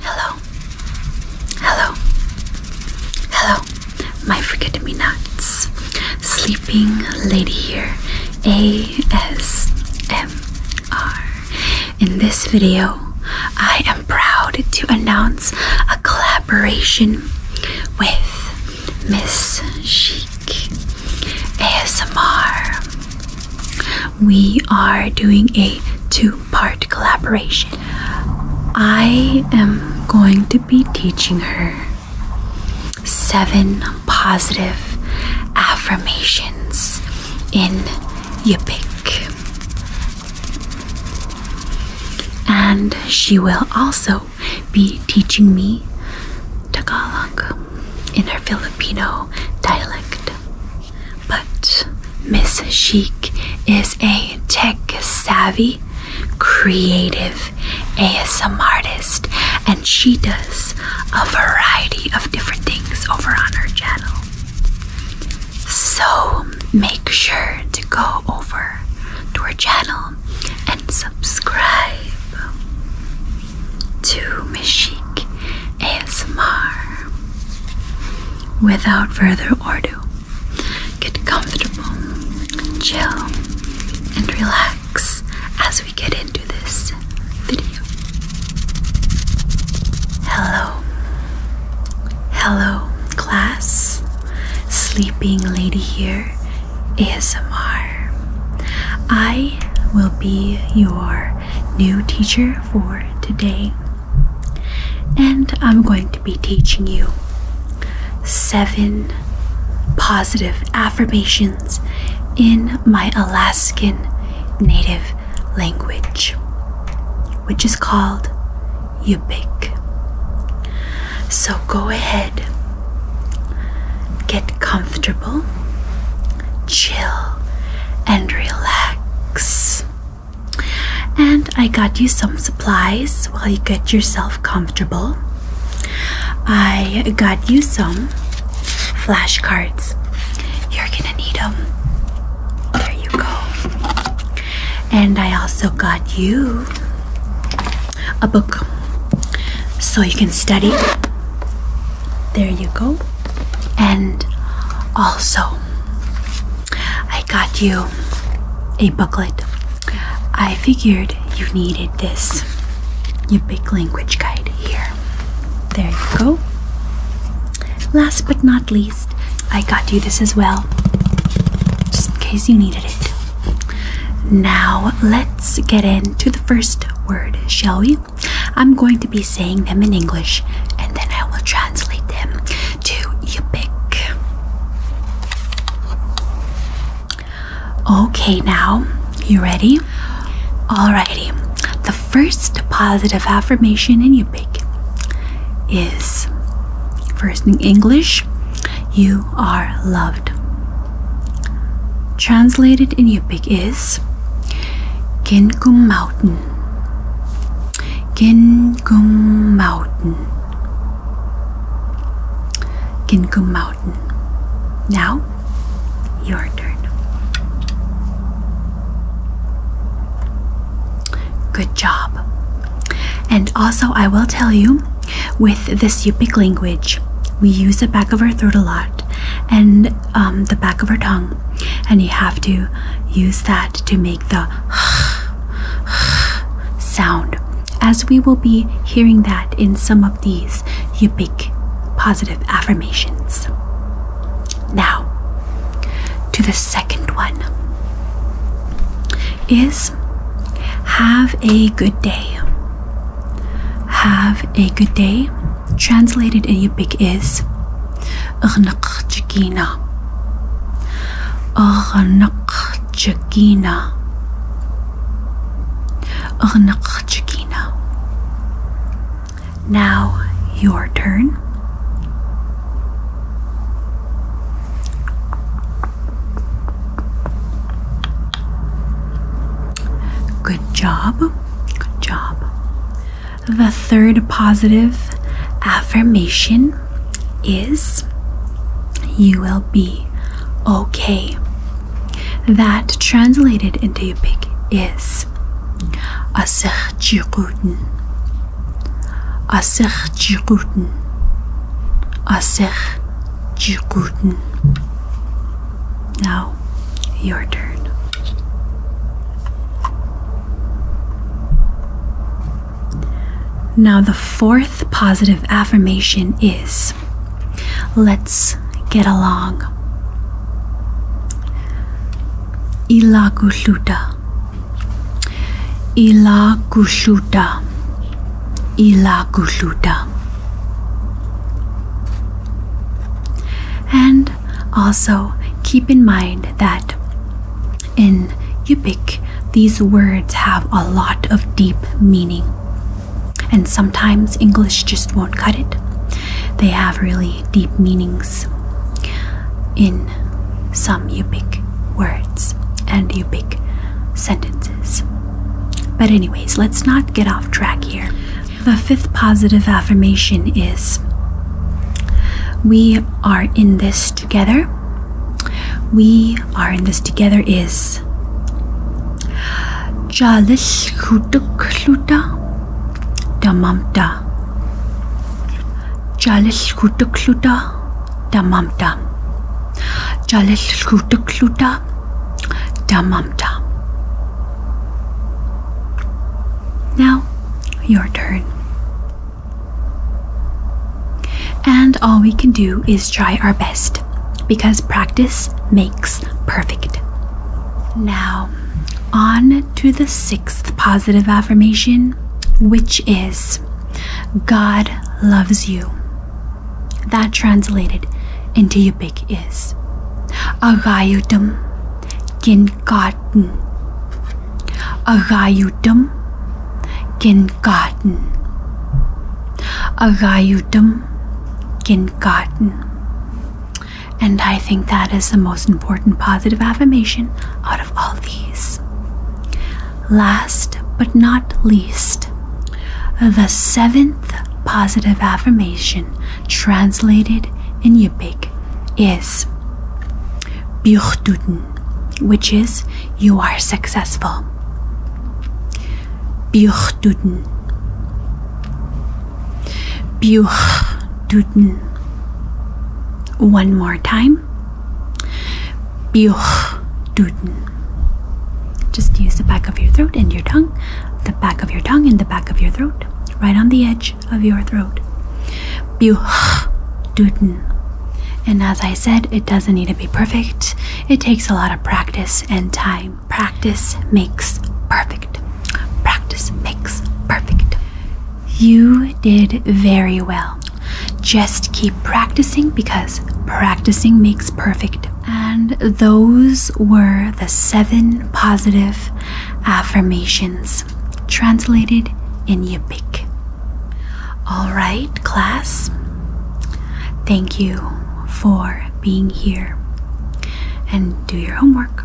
Hello, hello, hello, my forget me nots, sleeping lady here, A S M in this video, I am proud to announce a collaboration with Miss Chic ASMR. We are doing a two part collaboration. I am going to be teaching her seven positive affirmations in you And she will also be teaching me Tagalog in her Filipino dialect. But Miss Sheik is a tech savvy, creative ASM artist, and she does a variety of different things over on our channel. So make sure to go over to our channel and subscribe to Mishik ASMR. Without further ado, get comfortable, chill, and relax as we get into this video. Hello. Hello, class. Sleeping Lady here, ASMR. I will be your new teacher for today, and I'm going to be teaching you seven positive affirmations affirmations in my Alaskan native language, which is called Yupik. So go ahead, get comfortable, chill, and relax. And I got you some supplies while you get yourself comfortable. I got you some flashcards. You're gonna need them. There you go. And I also got you a book so you can study. There you go. And also, I got you a booklet. I figured you needed this. Your big language guide here. There you go. Last but not least, I got you this as well, just in case you needed it. Now, let's get into the first word, shall we? I'm going to be saying them in English and then I will translate them to you Okay, now you ready? Alrighty, the first positive affirmation in Yupik is first in English, you are loved. Translated in Yupik is Gengum Mountain. Gengum Mountain. Gengum Mountain. Now, your turn. Good job. And also, I will tell you with this Yupik language, we use the back of our throat a lot and um, the back of our tongue, and you have to use that to make the sound, as we will be hearing that in some of these you make positive affirmations. Now, to the second one is have a good day. Have a good day. Translated in Yupik is Chagina. Unqchkina. Now your turn. Good job. Good job. The third positive affirmation is you will be okay that translated into Yupik is Asikhjiguten. Asikhjiguten. Asikhjiguten. Now, your turn. Now, the fourth positive affirmation is Let's get along. Ilagushuta. Ilagushuta. Ilagushuta. And also keep in mind that in Yupik, these words have a lot of deep meaning. And sometimes English just won't cut it. They have really deep meanings in some Yupik words and Yupik sentences. But, anyways, let's not get off track here. The fifth positive affirmation is We are in this together we are in this together is Jalishkutukluta Damamta. Jalishkutukluta Damamta. Jalishkutukluta Damamta. Now, your turn. And all we can do is try our best because practice makes perfect. Now, on to the sixth positive affirmation, which is God loves you. That translated into Yupik is Agayutum Ginkarten. Agayutum Kindergarten. Agayutam Kindergarten. And I think that is the most important positive affirmation out of all these. Last but not least, the seventh positive affirmation translated in Yupik is Bjuchtuten which is you are successful. Buchduden. Buchduden. One more time. Buchduden. Just use the back of your throat and your tongue, the back of your tongue and the back of your throat, right on the edge of your throat. Buchduden. And as I said, it doesn't need to be perfect. It takes a lot of practice and time. Practice makes perfect. Practice makes perfect. You did very well. Just keep practicing because practicing makes perfect. And those were the seven positive affirmations translated in Yupik. All right, class. Thank you for being here and do your homework.